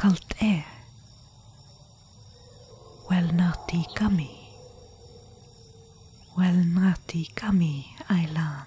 Kallt air. Er. Well naughty gummy. Well naughty gummy, Eilan.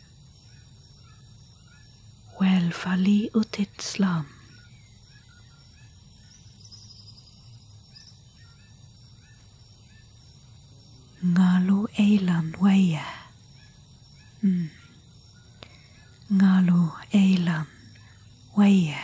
Well, Välfali utit slam. Ngalu eilan waya. Mm. Ngalu eilan waya.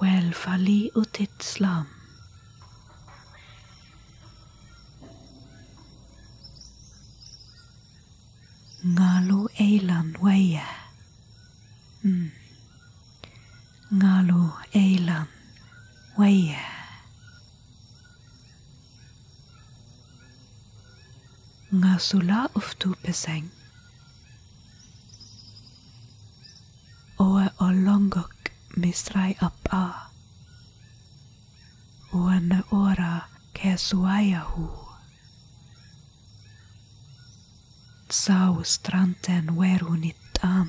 Välfali ut islam. Ngalu eilan weya. Mm. Ngalu eilan weya nga sula uftu peseng. Oe o longok mistrai ap a. Uana ora ke suayahu. Tsau stranten werunit an.